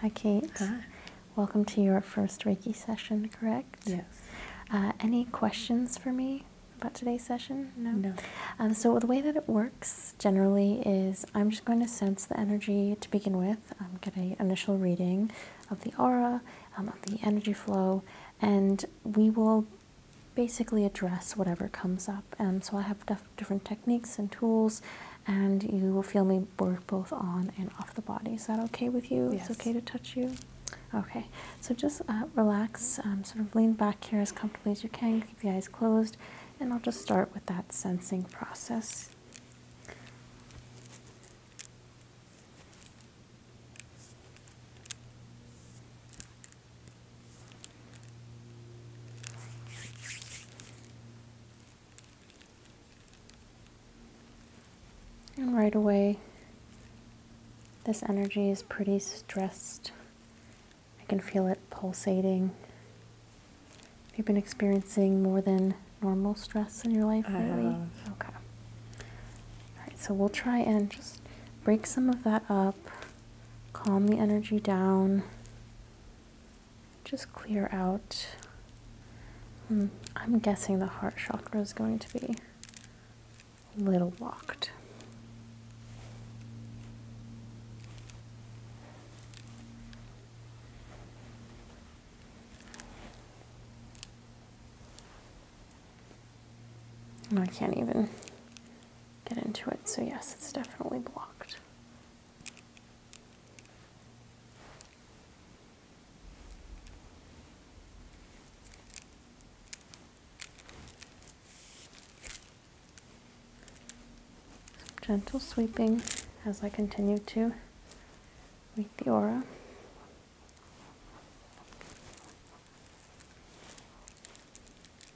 Hi, Kate. Welcome to your first Reiki session, correct? Yes. Uh, any questions for me about today's session? No. No. Um, so, the way that it works generally is I'm just going to sense the energy to begin with, um, get an initial reading of the aura, um, of the energy flow, and we will basically address whatever comes up. And um, so I have different techniques and tools, and you will feel me work both on and off the body. Is that okay with you? It's okay to touch you? Okay, so just uh, relax, um, sort of lean back here as comfortably as you can, keep the eyes closed, and I'll just start with that sensing process. And right away, this energy is pretty stressed. I can feel it pulsating. you Have been experiencing more than normal stress in your life lately? Okay. All right, so we'll try and just break some of that up calm the energy down, just clear out. Hmm, I'm guessing the heart chakra is going to be a little locked. I can't even get into it, so yes, it's definitely blocked. gentle sweeping as I continue to read the aura.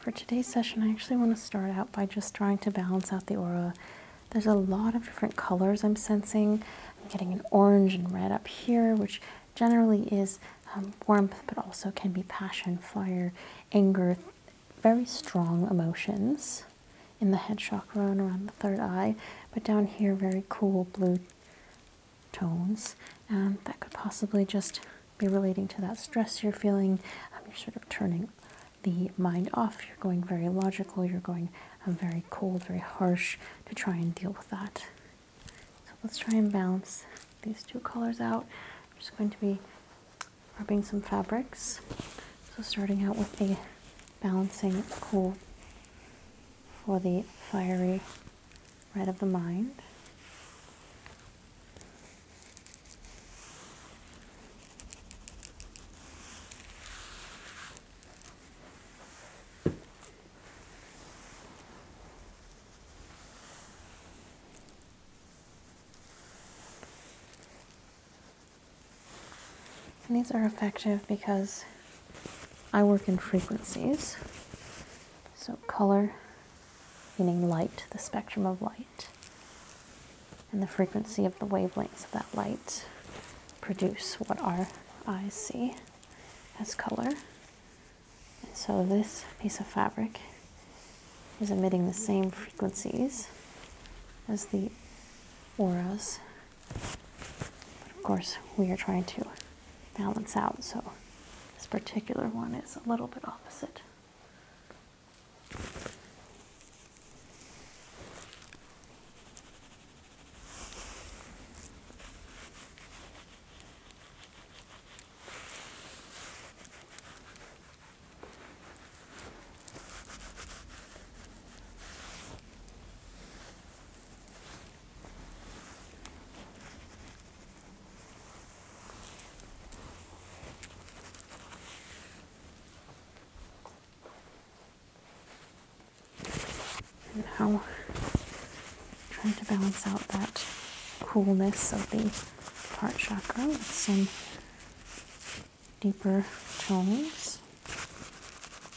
for today's session, I actually want to start out by just trying to balance out the aura. There's a lot of different colors I'm sensing. I'm getting an orange and red up here, which generally is um, warmth, but also can be passion, fire, anger, very strong emotions in the head chakra and around the third eye, but down here, very cool blue tones. And that could possibly just be relating to that stress you're feeling. Um, you're sort of turning the mind off. You're going very logical. You're going um, very cold, very harsh to try and deal with that. So let's try and balance these two colors out. I'm just going to be rubbing some fabrics. So starting out with a balancing cool for the fiery red of the mind these are effective because I work in frequencies. So color, meaning light, the spectrum of light, and the frequency of the wavelengths of that light produce what our eyes see as color. so this piece of fabric is emitting the same frequencies as the auras of course, we are trying to balance out, so this particular one is a little bit opposite. Now, trying to balance out that coolness of the heart chakra with some deeper tones.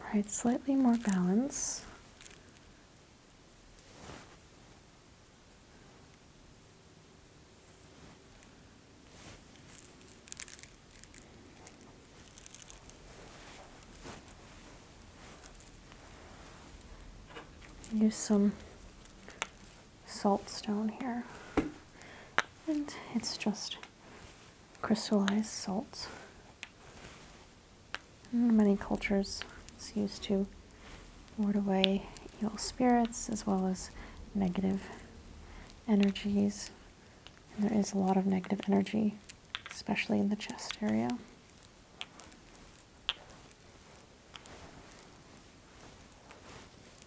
All right, slightly more balance. Use some salt stone here. And it's just crystallized salt. Mm, many cultures, it's used to ward away evil spirits as well as negative energies. there is a lot of negative energy, especially in the chest area.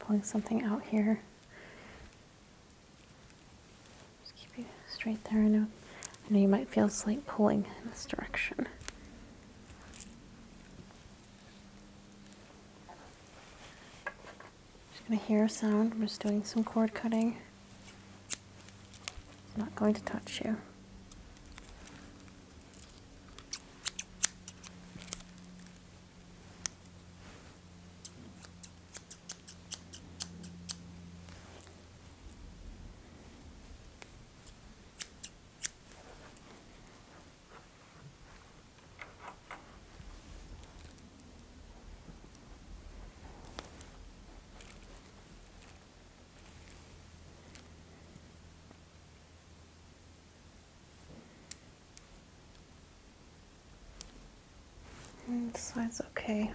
Pulling something out here. Just keep it straight there. I know, I know you might feel slight pulling in this direction. Just going to hear a sound. I'm just doing some cord cutting. It's not going to touch you. And mm, this side's okay.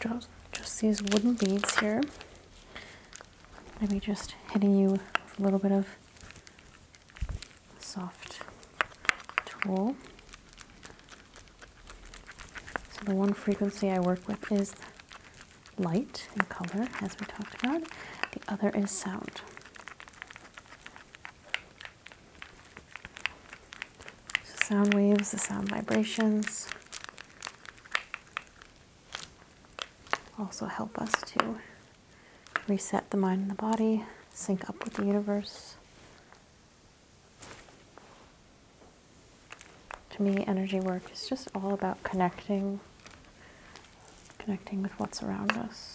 Just, just these wooden beads here. Maybe just hitting you with a little bit of soft tool. So the one frequency I work with is light and color, as we talked about. The other is sound. So sound waves, the sound vibrations also help us to reset the mind and the body, sync up with the universe. To me, energy work is just all about connecting, connecting with what's around us.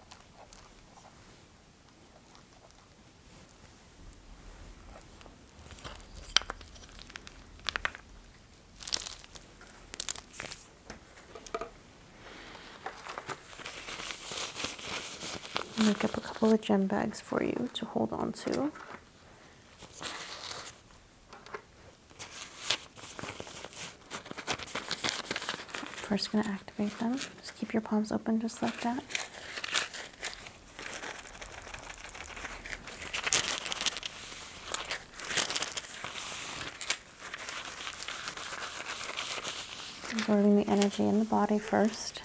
i Make up a couple of gem bags for you to hold on to. First, going to activate them. Just keep your palms open just like that. Absorbing the energy in the body first.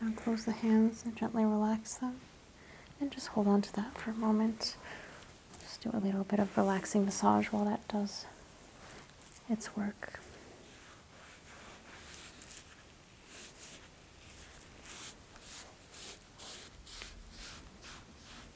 Now close the hands and gently relax them. And just hold on to that for a moment. Just do a little bit of relaxing massage while that does its work.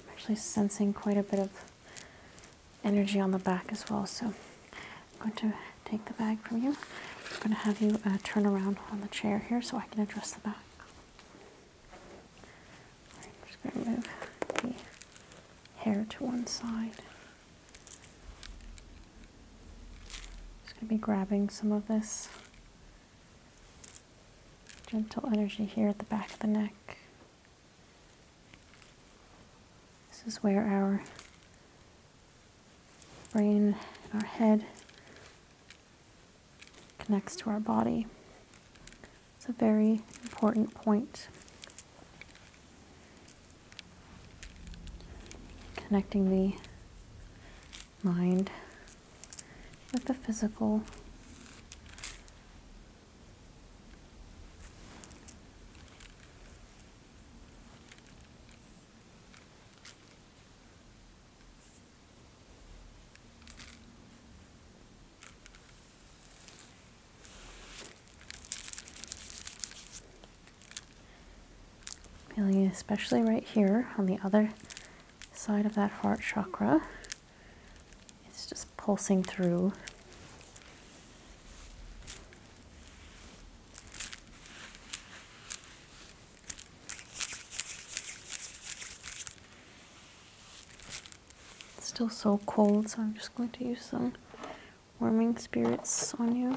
I'm actually sensing quite a bit of energy on the back as well. So I'm going to take the bag from you. I'm going to have you uh, turn around on the chair here so I can address the back. I'm just going to move the hair to one side. Just going to be grabbing some of this gentle energy here at the back of the neck. This is where our brain our head connects to our body. It's a very important point. Connecting the mind with the physical Feeling especially right here on the other side of that heart chakra. It's just pulsing through. It's still so cold, so I'm just going to use some warming spirits on you.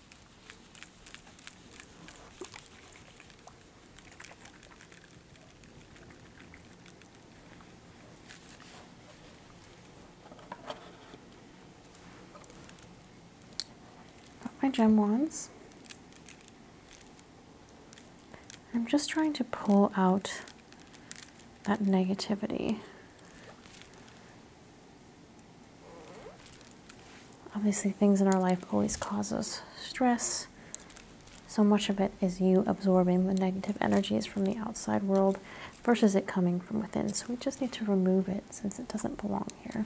Got my gem wands. I'm just trying to pull out that negativity Obviously, things in our life always cause us stress. So much of it is you absorbing the negative energies from the outside world versus it coming from within. So we just need to remove it since it doesn't belong here.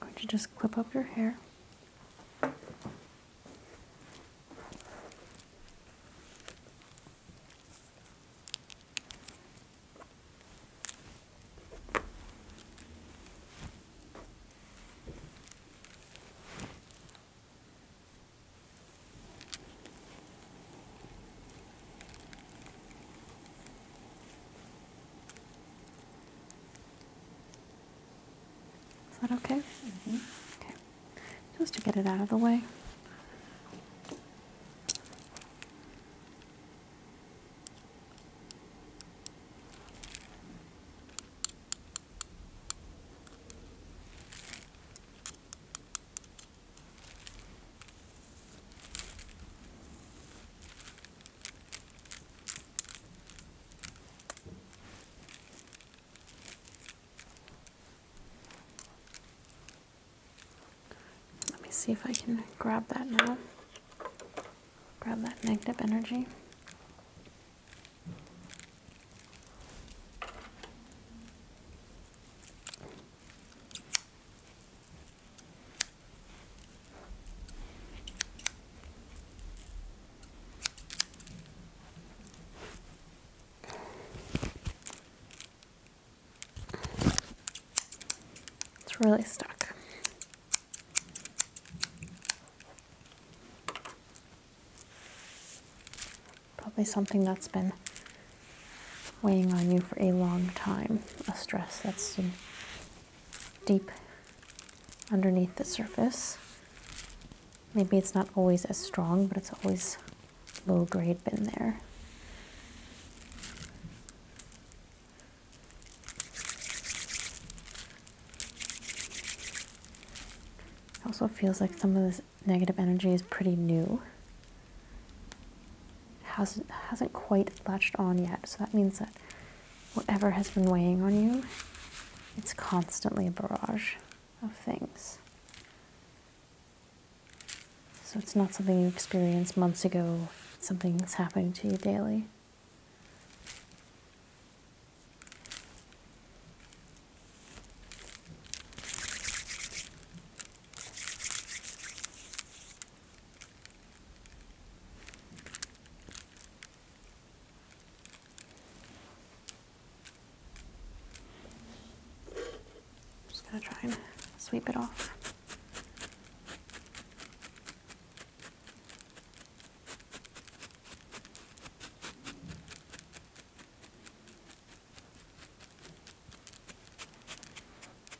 I'm going to just clip up your hair. Is that okay? Mm-hmm. Okay. Just to get it out of the way. Let me see if I can grab that now. Grab that negative energy. It's really stuck. Probably something that's been weighing on you for a long time, a stress that's deep underneath the surface. Maybe it's not always as strong, but it's always low grade been there. also feels like some of this negative energy is pretty new hasn't hasn't quite latched on yet. So that means that whatever has been weighing on you, it's constantly a barrage of things. So it's not something you experienced months ago. It's something that's happening to you daily. Just gonna try and sweep it off.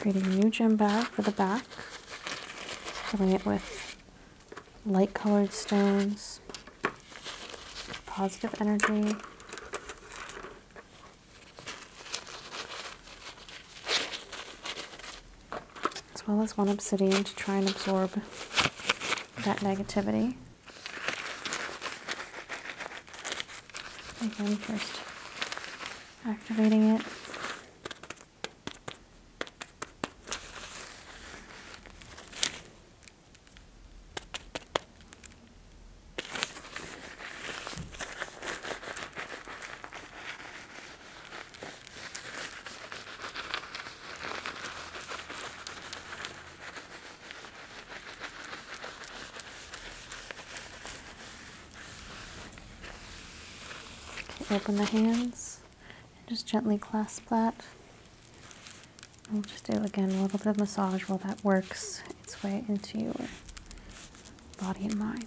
Creating a new gym bag for the back, filling it with light colored stones, positive energy. As well as one obsidian to try and absorb that negativity. Again, first activating it Open the hands and just gently clasp that. We'll just do again a little bit of massage while that works its way into your body and mind.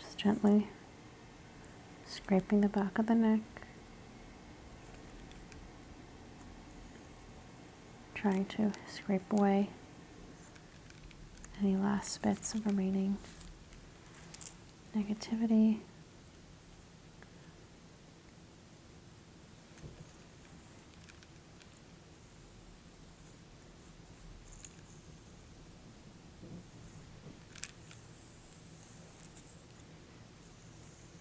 Just gently scraping the back of the neck trying to scrape away any last bits of remaining negativity.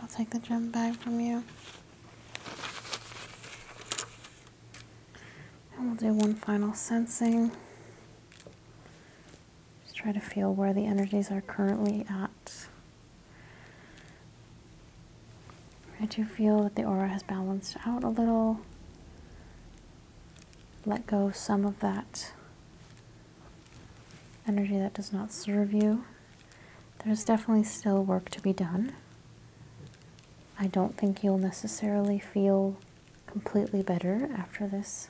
I'll take the gem bag from you. And we'll do one final sensing. Just try to feel where the energies are currently at. I do feel that the aura has balanced out a little. Let go some of that energy that does not serve you there's definitely still work to be done. I don't think you'll necessarily feel completely better after this,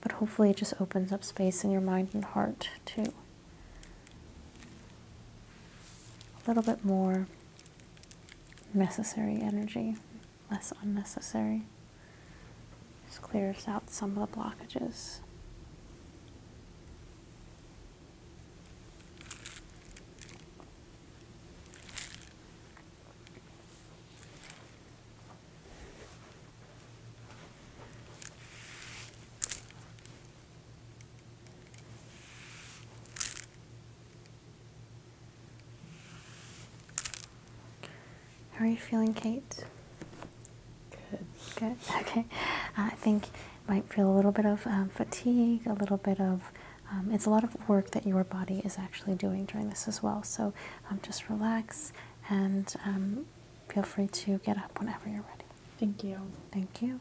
but hopefully it just opens up space in your mind and heart too. A little bit more necessary energy, less unnecessary. Just clears out some of the blockages. How are you feeling, Kate? Good. Good. Okay. Uh, I think you might feel a little bit of um, fatigue, a little bit of. Um, it's a lot of work that your body is actually doing during this as well. So um, just relax and feel free to get up whenever you're ready. Thank you. Thank you.